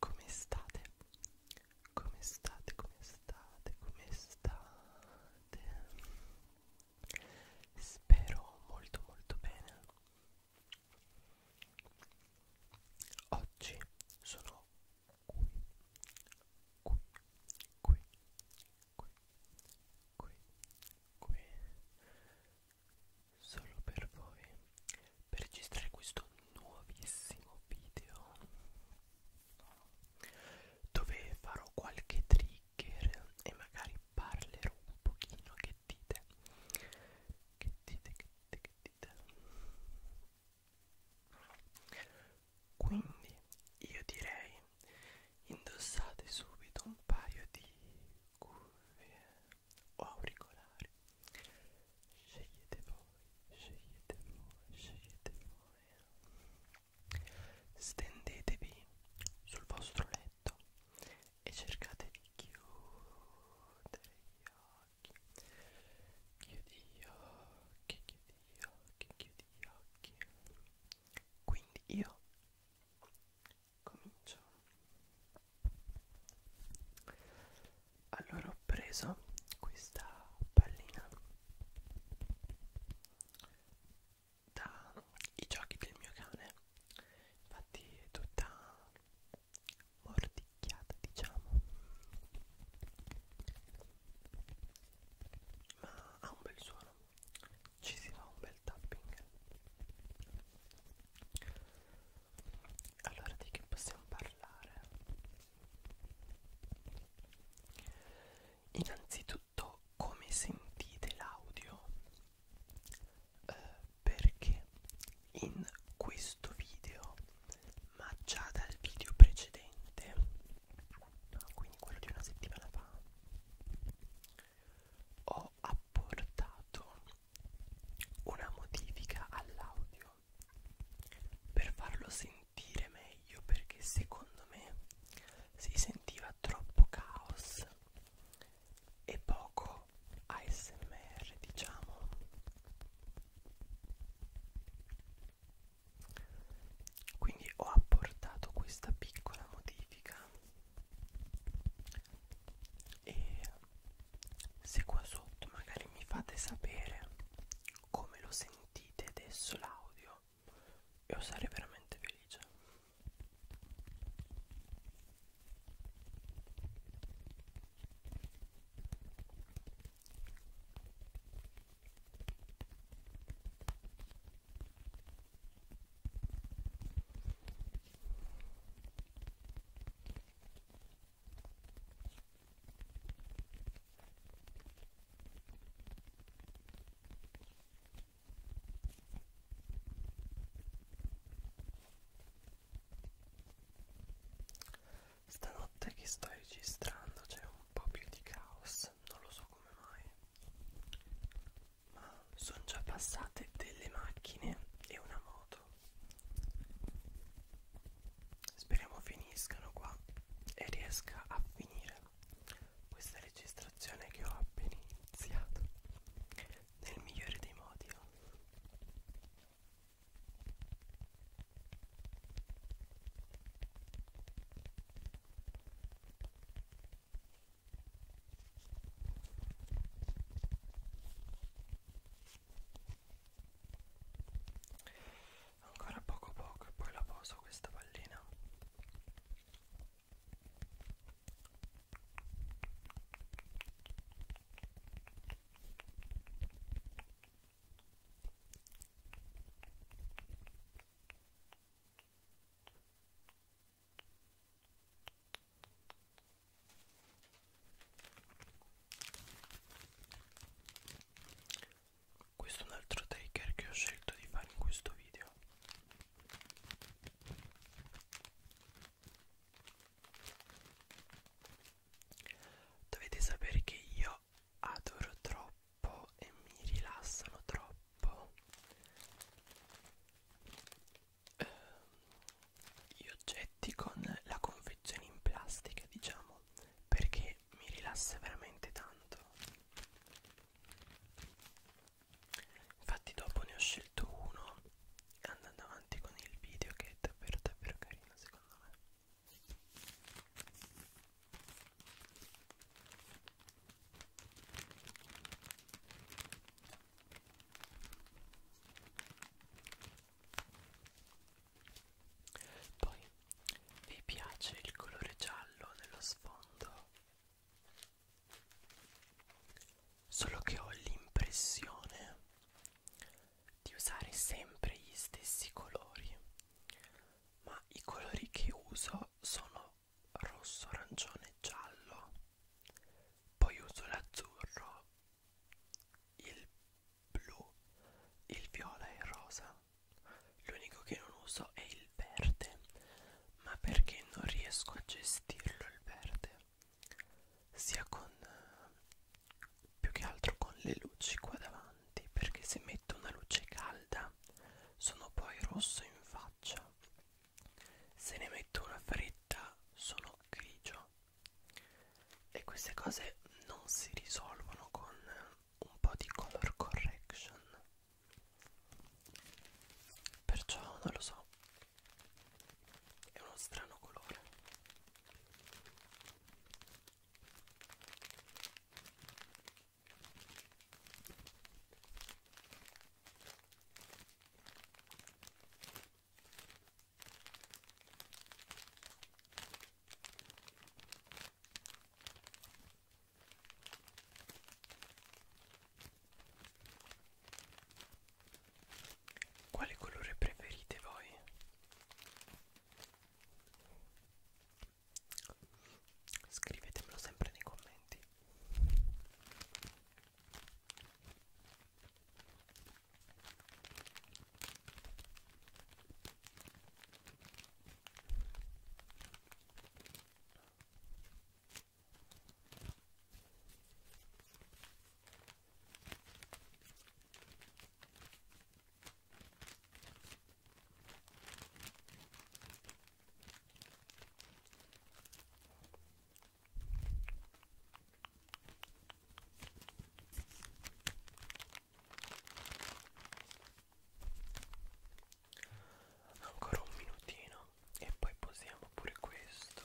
Come state? Come state? Come state? Come state? Spero molto molto bene. Oggi sono qui, qui, qui, qui, qui, qui solo per voi per registrare questo nuovissimo video dove farò qualche trigger e magari parlerò un pochino che dite che dite che dite che dite quindi io direi indossate subito un paio di cuffie o auricolari scegliete voi scegliete voi scegliete voi stendetevi sul vostro letto e cercate di chiudere gli occhi chiudi gli occhi chiudi gli occhi chiudi gli occhi quindi io cominciamo allora ho preso questa pallina dai giochi del mio cane infatti è tutta mordicchiata diciamo ma ha un bel suono ci si fa un bel tapping allora di che possiamo parlare innanzitutto come sentite l'audio eh, perché in questo video ma già dal video precedente quindi quello di una settimana fa ho apportato una modifica all'audio per farlo sentire meglio perché secondo me si sentiva troppo caos e poco ASMR diciamo quindi ho apportato questa piccola modifica e se qua sotto magari mi fate sapere come lo sentite adesso l'audio io sarei veramente felice Stanotte che sto registrando c'è un po' più di caos, non lo so come mai ma sono già passate delle macchine e una moto speriamo finiscano qua e riesca a finire questa registrazione che ho appena iniziato nel migliore dei modi oh. Ancora poco poco e poi la poso questa pallina questo è un altro taker che ho scelto di fare in questo video dovete sapere che io io adoro troppo e mi rilassano troppo eh, gli oggetti con la confezione in plastica diciamo perché mi rilassa veramente tanto infatti dopo ne ho scelto uno andando avanti con il video che è davvero davvero carino secondo me poi vi piace il colore giallo dello sfondo? Solo che ho l'impressione di usare sempre gli stessi colori ma i colori che uso sono rosso, arancione e giallo. Poi uso l'azzurro, il blu, il viola e il rosa. L'unico che non uso è il verde, ma perché non riesco a gestirlo il verde, sia con più che altro con le luci qua davanti pesanti perché se metto una luce calda sono poi rosso in faccia se ne metto una fretta sono grigio e queste cose non si risolvono con un po' di color correction perciò non lo so è uno strano colore quale colore preferite voi? scrivetemelo sempre nei commenti Ancora un minutino e poi posiamo pure questo.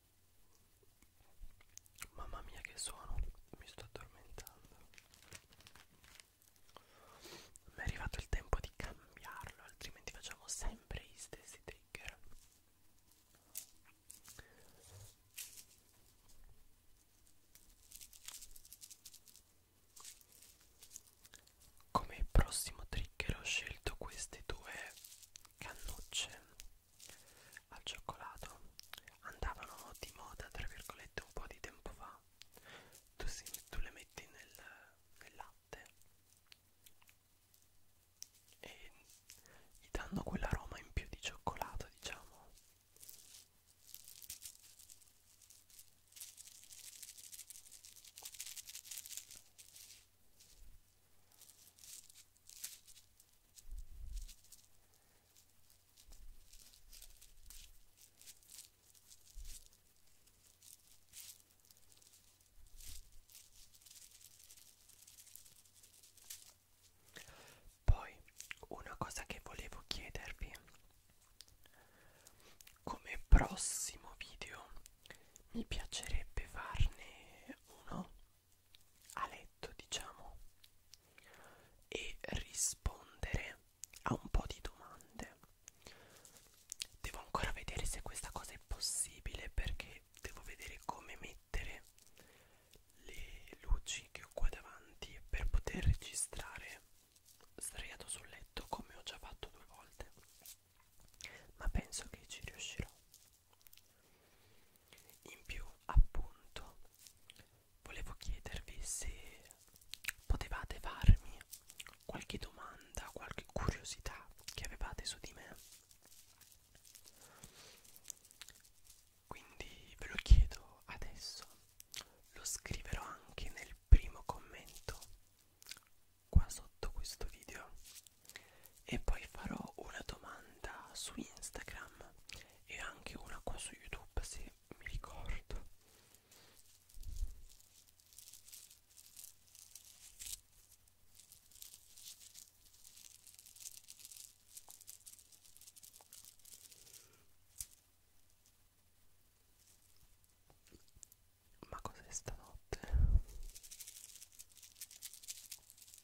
Mamma mia che suono, mi sto addormentando. Mi è arrivato il tempo di cambiarlo, altrimenti facciamo sempre gli stessi trigger. Come prossimo trigger ho scelto queste due cannucce al cioccolato andavano di moda, tra virgolette, un po' di tempo fa. Tu, si, tu le metti nel, nel latte e gli danno quell'aroma in più di cioccolato, diciamo. Poi una cosa che volevo chiedervi come prossimo video mi piacerebbe farne uno a letto diciamo e rispondere a un po' di domande devo ancora vedere se questa cosa è possibile perché devo vedere come mettere le luci che ho qua davanti per poter registrare sdraiato sul letto come ho già fatto due volte ma penso che ci riuscirò in più appunto volevo chiedervi se potevate farmi qualche domanda qualche curiosità che avevate su di me quindi ve lo chiedo adesso lo scriverò anche nel primo commento qua sotto questo video e poi farò una domanda su Instagram e anche una qua su YouTube se mi ricordo ma cos'è stanotte?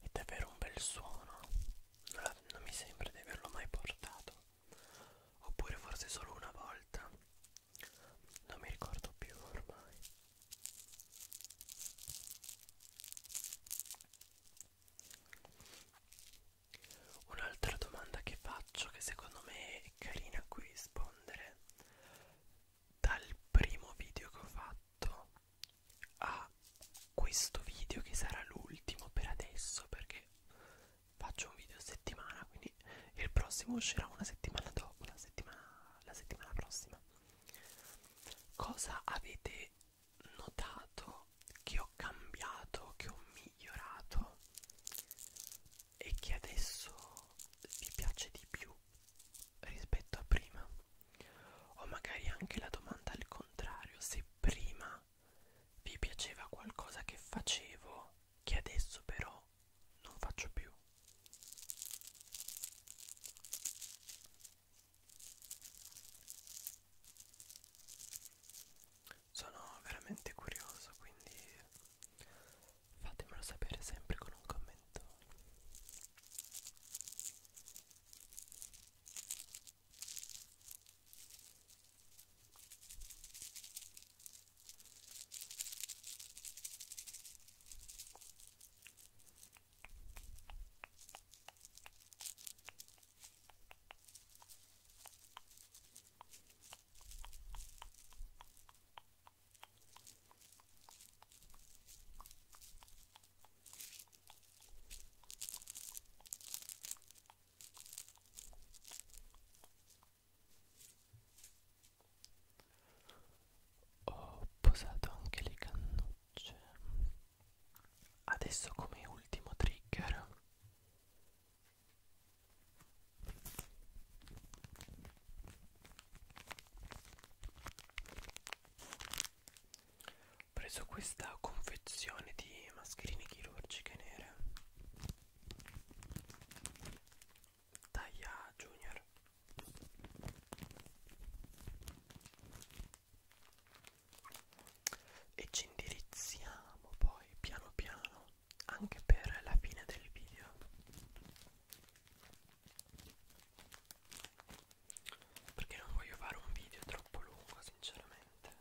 È davvero un bel suono, non, la, non mi sembra di averlo mai portato, oppure forse solo una volta, non mi ricordo più ormai. Un'altra domanda che faccio, che secondo me è carina a cui rispondere dal primo video che ho fatto a questo video che sarà l'ultimo per adesso perché faccio un video a settimana quindi il prossimo uscirà una settimana dopo la settimana, la settimana prossima cosa avete notato che ho cambiato che ho migliorato e che adesso vi piace di più rispetto a prima o magari anche la domanda al contrario se prima vi piaceva qualcosa che facevo che adesso però non faccio più sono veramente curioso quindi fatemelo sapere sempre con un commento ho posato anche le cannucce. Adesso come ultimo trigger ho preso questa confezione di mascherine chirurgiche nere taglia junior e ci indirizziamo poi piano piano anche per la fine del video perché non voglio fare un video troppo lungo sinceramente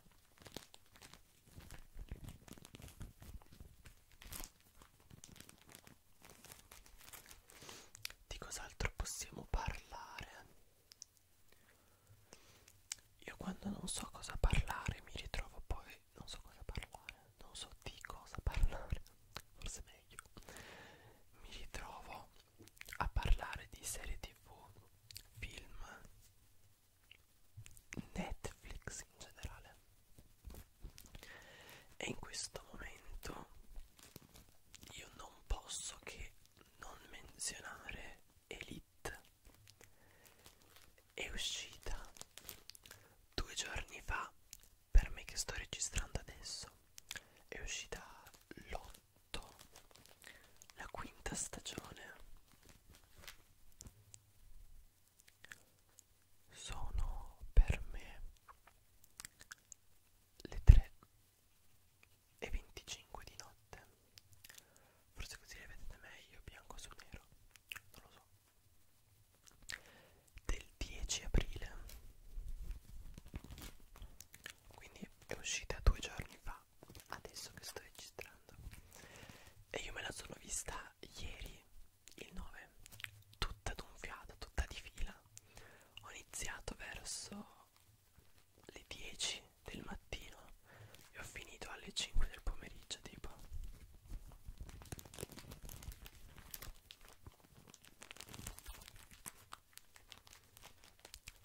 di cos'altro possiamo parlare io quando non so cosa parlare mi ritrovo poi, non so cosa parlare, non so di cosa parlare, forse meglio, mi ritrovo a parlare di serie tv, film, Netflix in generale. E in questo momento io non posso che non menzionare Elite It è uscita due giorni fa per me che sto registrando adesso è uscita l'8 la quinta stagione sono per me le tre e 25 di notte forse così le vedete meglio bianco su nero non lo so del 10 aprile quindi è uscita due giorni fa adesso che sto registrando e io me la sono vista ieri il 9 tutta d'un fiato tutta di fila ho iniziato verso alle 10 del mattino e ho finito alle 5 del pomeriggio tipo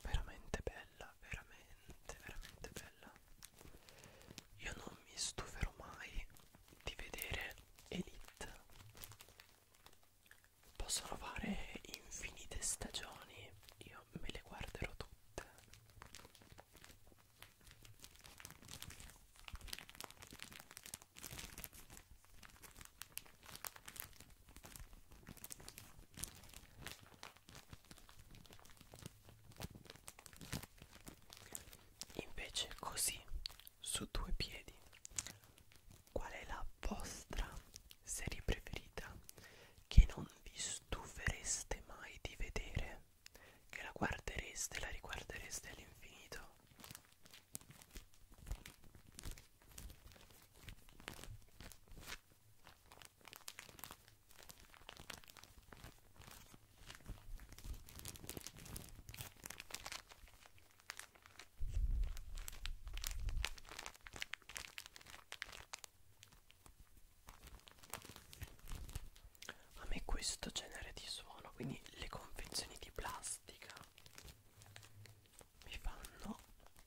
veramente bella veramente veramente bella io non mi stuferò mai di vedere Elite possono fare infinite stagioni io me le guarderò tutte notte invece così su due piedi qual è la vostra serie preferita che non vi stufereste mai di vedere, che la guardereste, la riguardereste all'infinito a me questo genere di suono quindi le confezioni di plastica mi fanno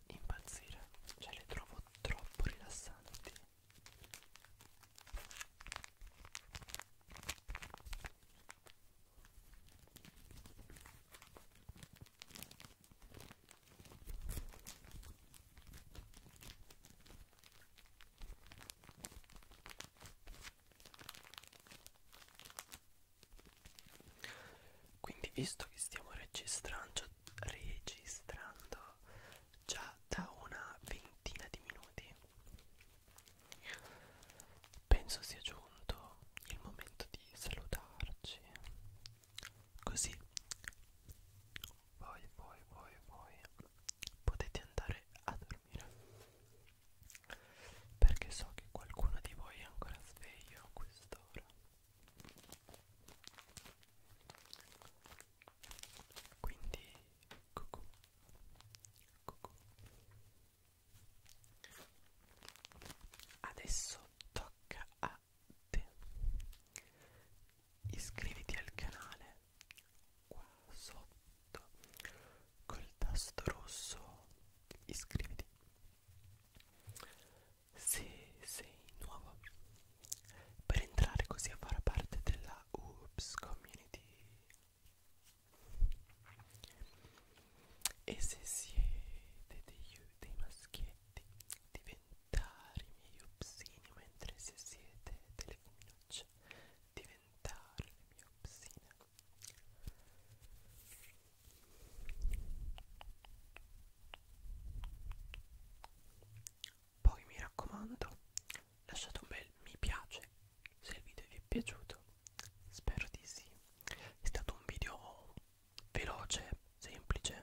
impazzire cioè le trovo troppo rilassanti quindi visto che stiamo registrando, registrando già da una ventina di minuti, penso sia giunto il momento di salutarci Così voi, voi, voi, voi potete andare a dormire perché so che qualcuno di voi è ancora sveglio a quest'ora. Quindi, cucù, cucù. Adesso tocca a iscriviti al canale qua sotto col tasto rosso iscriviti se sei nuovo per entrare così a far parte della Oops Community e se siete dei, dei maschietti metti diventare i miei upsini mentre se siete delle femminucce diventare le mie upsine poi mi raccomando lasciate un bel mi piace se il video vi è piaciuto spero di sì è stato un video veloce, semplice,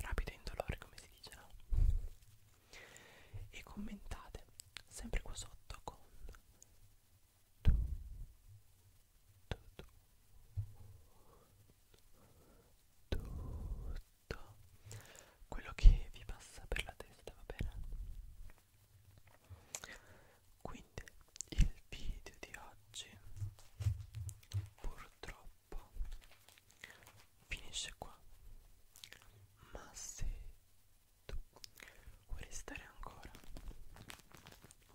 rapido e indolore come si dice no? e commentate sempre qua sotto con tu, tu, tu, tutto quello che vi passa per la testa va bene quindi il video di oggi oggi purtroppo finisce qua ma se tu vuoi restare ancora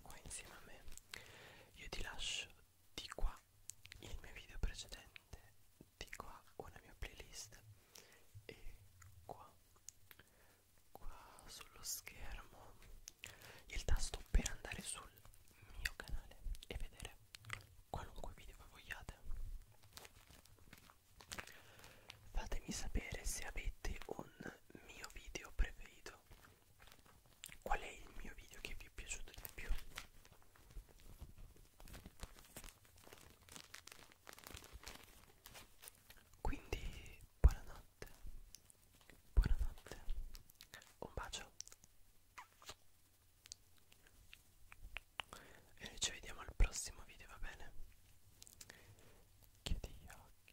qua insieme a me io ti lascio di qua il mio video precedente di qua una mia playlist e qua qua sullo schermo il tasto per andare su sul mio canale e vedere qualunque video voi vogliate fatemi sapere se avete un mio video preferito qual è il mio video che vi è piaciuto di più quindi buonanotte buonanotte, un bacio e noi ci vediamo al prossimo video, va bene? Chiudi gli occhi.